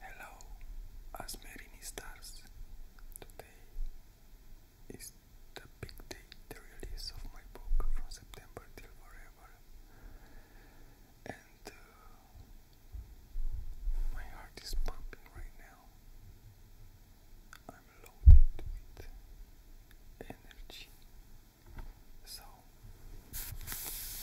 Hello, Asmerini stars. Today is the big day, the release of my book from September till forever. And uh, my heart is pumping right now. I'm loaded with energy. So,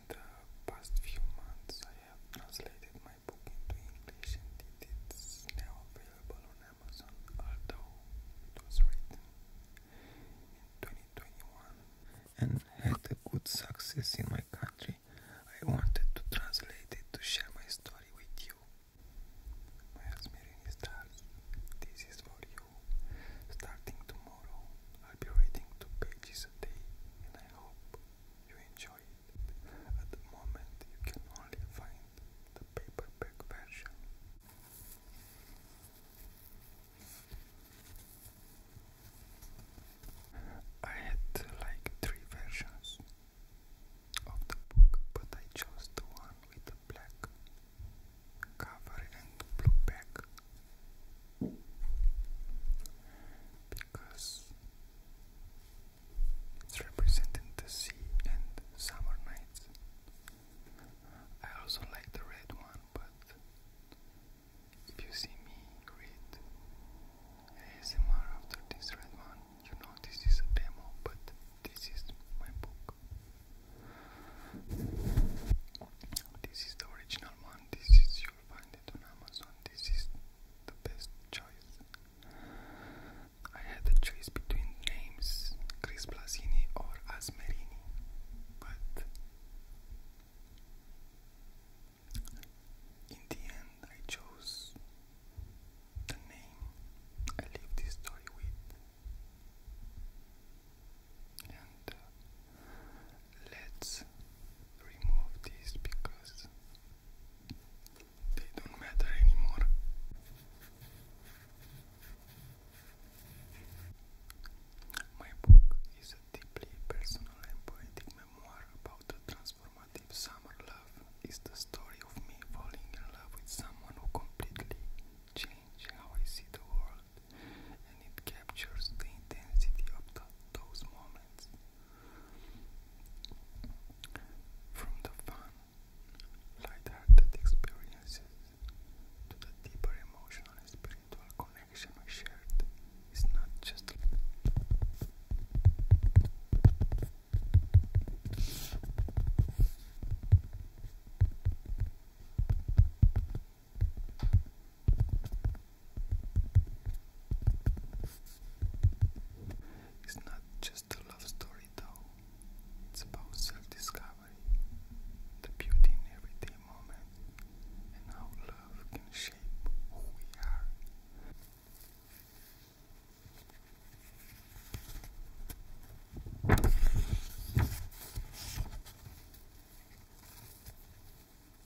in the past few months I have translated my book into English and it is now available on Amazon, although it was written in 2021 and had a good success in my country. I wanted to translate it to share my story with you. My Asmerini stars, this is for you. Starting tomorrow, I'll be reading two pages a day and I hope you enjoy it. At the moment, you can only find the paperback version. I had like three versions of the book, but I chose the one with the black cover and blue back because it's representing the sea and summer nights. I also like the red one, but if you see me read ASMR after this red one, you know this is a demo, but this is my book. This is the original one, this is you find on Amazon. This is the best choice. I had the choice between names Chris Blasini or Asmerini, but in the end, I chose the name I live this story with, uh, let's remove these because they don't matter anymore. My book is a deeply personal and poetic memoir about the transformative summer love. It's the story of me falling in love with someone who completely changed how I see the world and it captures the intensity of those moments. From the fun, light-hearted experiences to the deeper emotional and spiritual connection we shared, is not just. It's not just a love story, though, it's about self discovery, the beauty in everyday moment, and how love can shape who we are.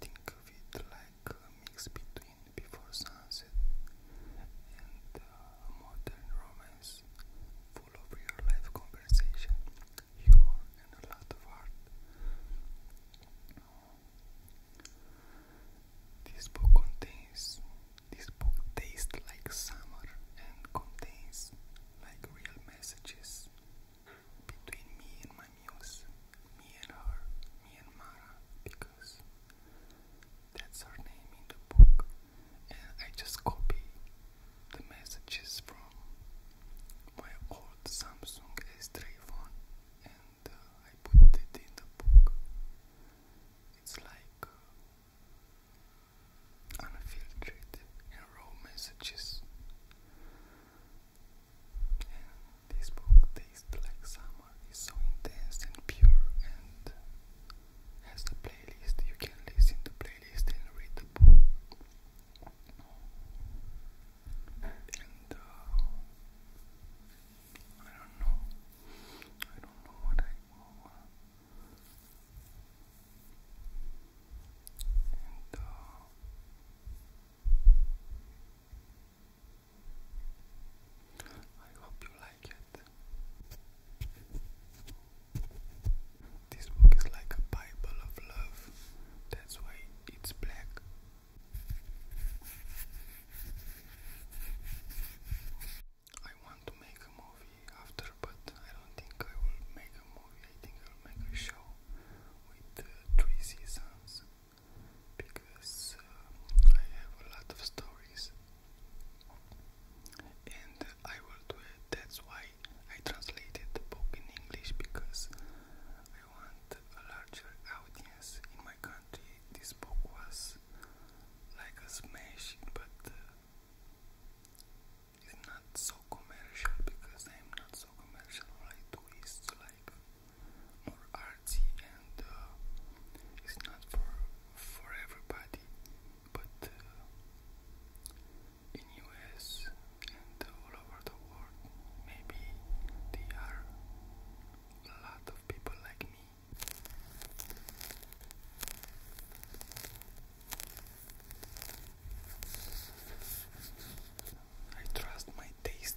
Think of it like a mix between Before Sunset and uh, modern romance full of real life conversation, humor, and a lot of art. This book contains this book tastes like summer and contains like real messages between me and my muse, me and her, me and Mara, because that's her name in the book and I just copy the messages from my old Samsung S3 phone and uh, I put it in the book. It's like uh, unfiltered and raw messages. this book tastes like summer. It's so intense and pure and has a playlist. You can listen to playlist and read the book. And uh, I don't know. I don't know what I will. Uh, uh, I hope you like it. This book is like a Bible of love, that's why it's black. I want to make a movie after, but I don't think I will make a movie. I think I'll make a show with uh, three seasons because uh, I have a lot of stories and I will do it. That's why I translated the book in English because I want a larger audience in my country. This book was like a smash, but uh, it's not so commercial because I'm not so commercial. All I do is like more artsy, and uh, it's not for for everybody. But uh, in US and all over the world. Maybe there are a lot of people like me. I trust my taste.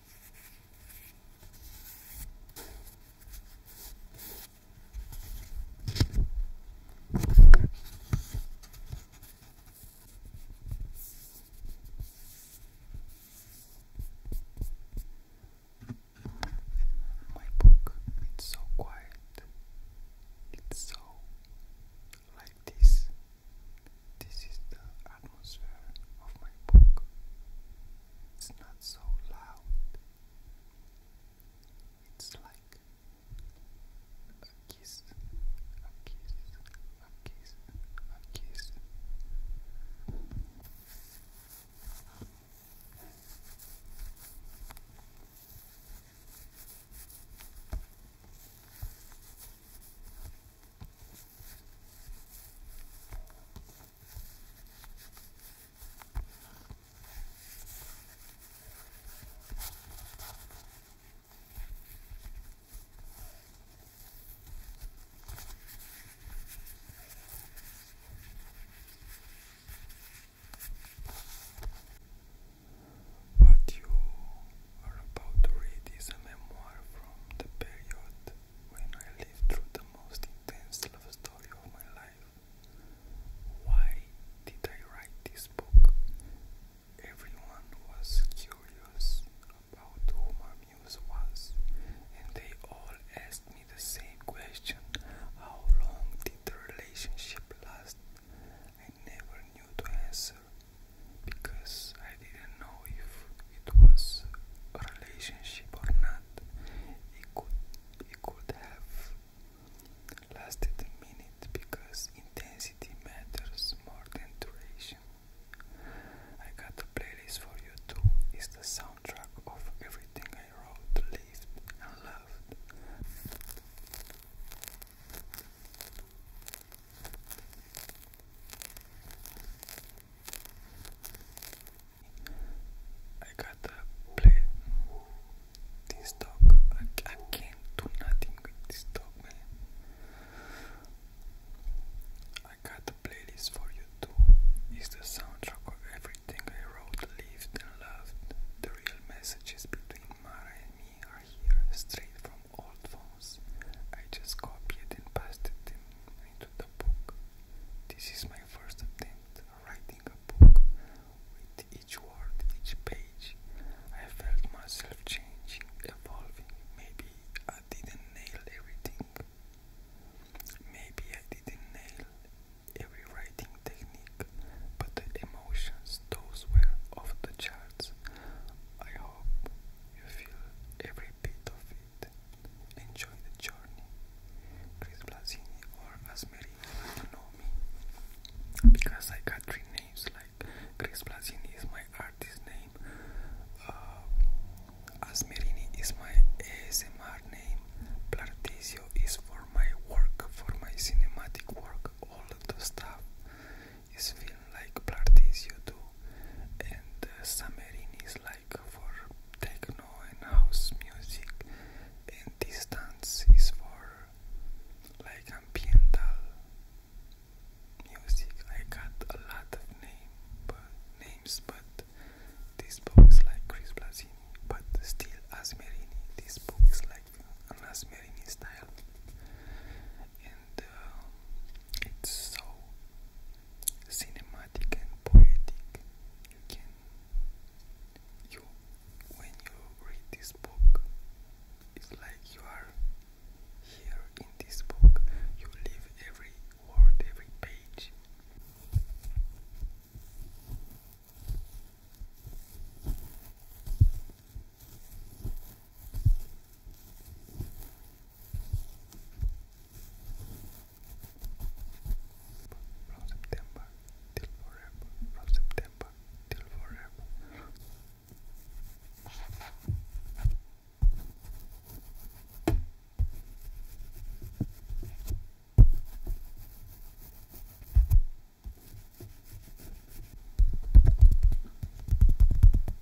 My book, it's so quiet. It's so like this. This is the atmosphere of my book. It's not so loud. It's like a kiss, a kiss, a kiss, a kiss. What you are about to read is a memoir from the period when I lived through the most intense love story of my life. Why did I write this book? Everyone was curious about who my muse was, and they all asked me the same question how long did the relationship last? I never knew to answer because I didn't know if it was a relationship or not. It could it could have lasted a minute because intensity matters more than duration. I got a playlist for you too. It's the soundtrack of everything I wrote, lived, and loved. I gotta play this dog. I, I can't do nothing with this dog, man. I gotta play for you too. It's the soundtrack of everything I wrote, lived, loved. The real messages between Mara and me are here, straight from old phones. I just copied and pasted them into the book. This is my first attempt at writing a book. With each word, each page, I felt myself changing, evolving. Maybe I didn't nail everything. Maybe I didn't nail every writing technique, but the emotions, those were off the charts. I hope you feel every bit of Enjoy the journey. Chris Blasini or Asmeri, if know me. Because I got three names like Chris Blasini is my artist name. Uh, Asmerini is my ASMR name. Platisio is for my work, for my cinematic work, all the stuff is filmed like Blartisio do, and uh, is like for techno and house music, and Distance is for like ambiental music. I got a lot of names, but this book is like Chris Blasini, but still Asmerini. This book is like an Asmerini style, and um, it's so cinematic and poetic. You when you read this book, it's like you are here in this book. You live every word, every page. From September till forever. From September till forever.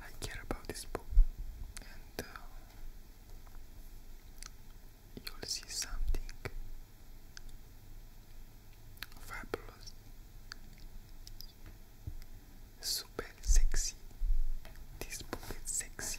I care about this book, and uh, you'll see something fabulous, super sexy. This book is sexy.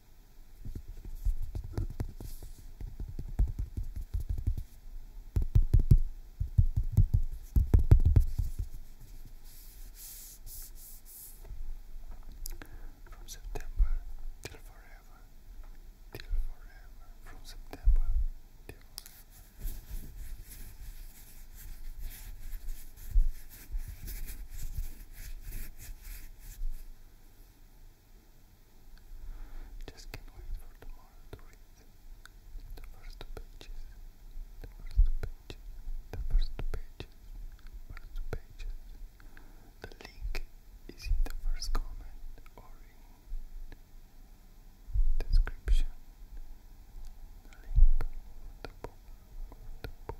From September till forever, till forever, from September till forever. Just can't wait for tomorrow to read the first pages, the first pages, the first pages, first pages. The link is in the first comment or in description. The link the book, the book.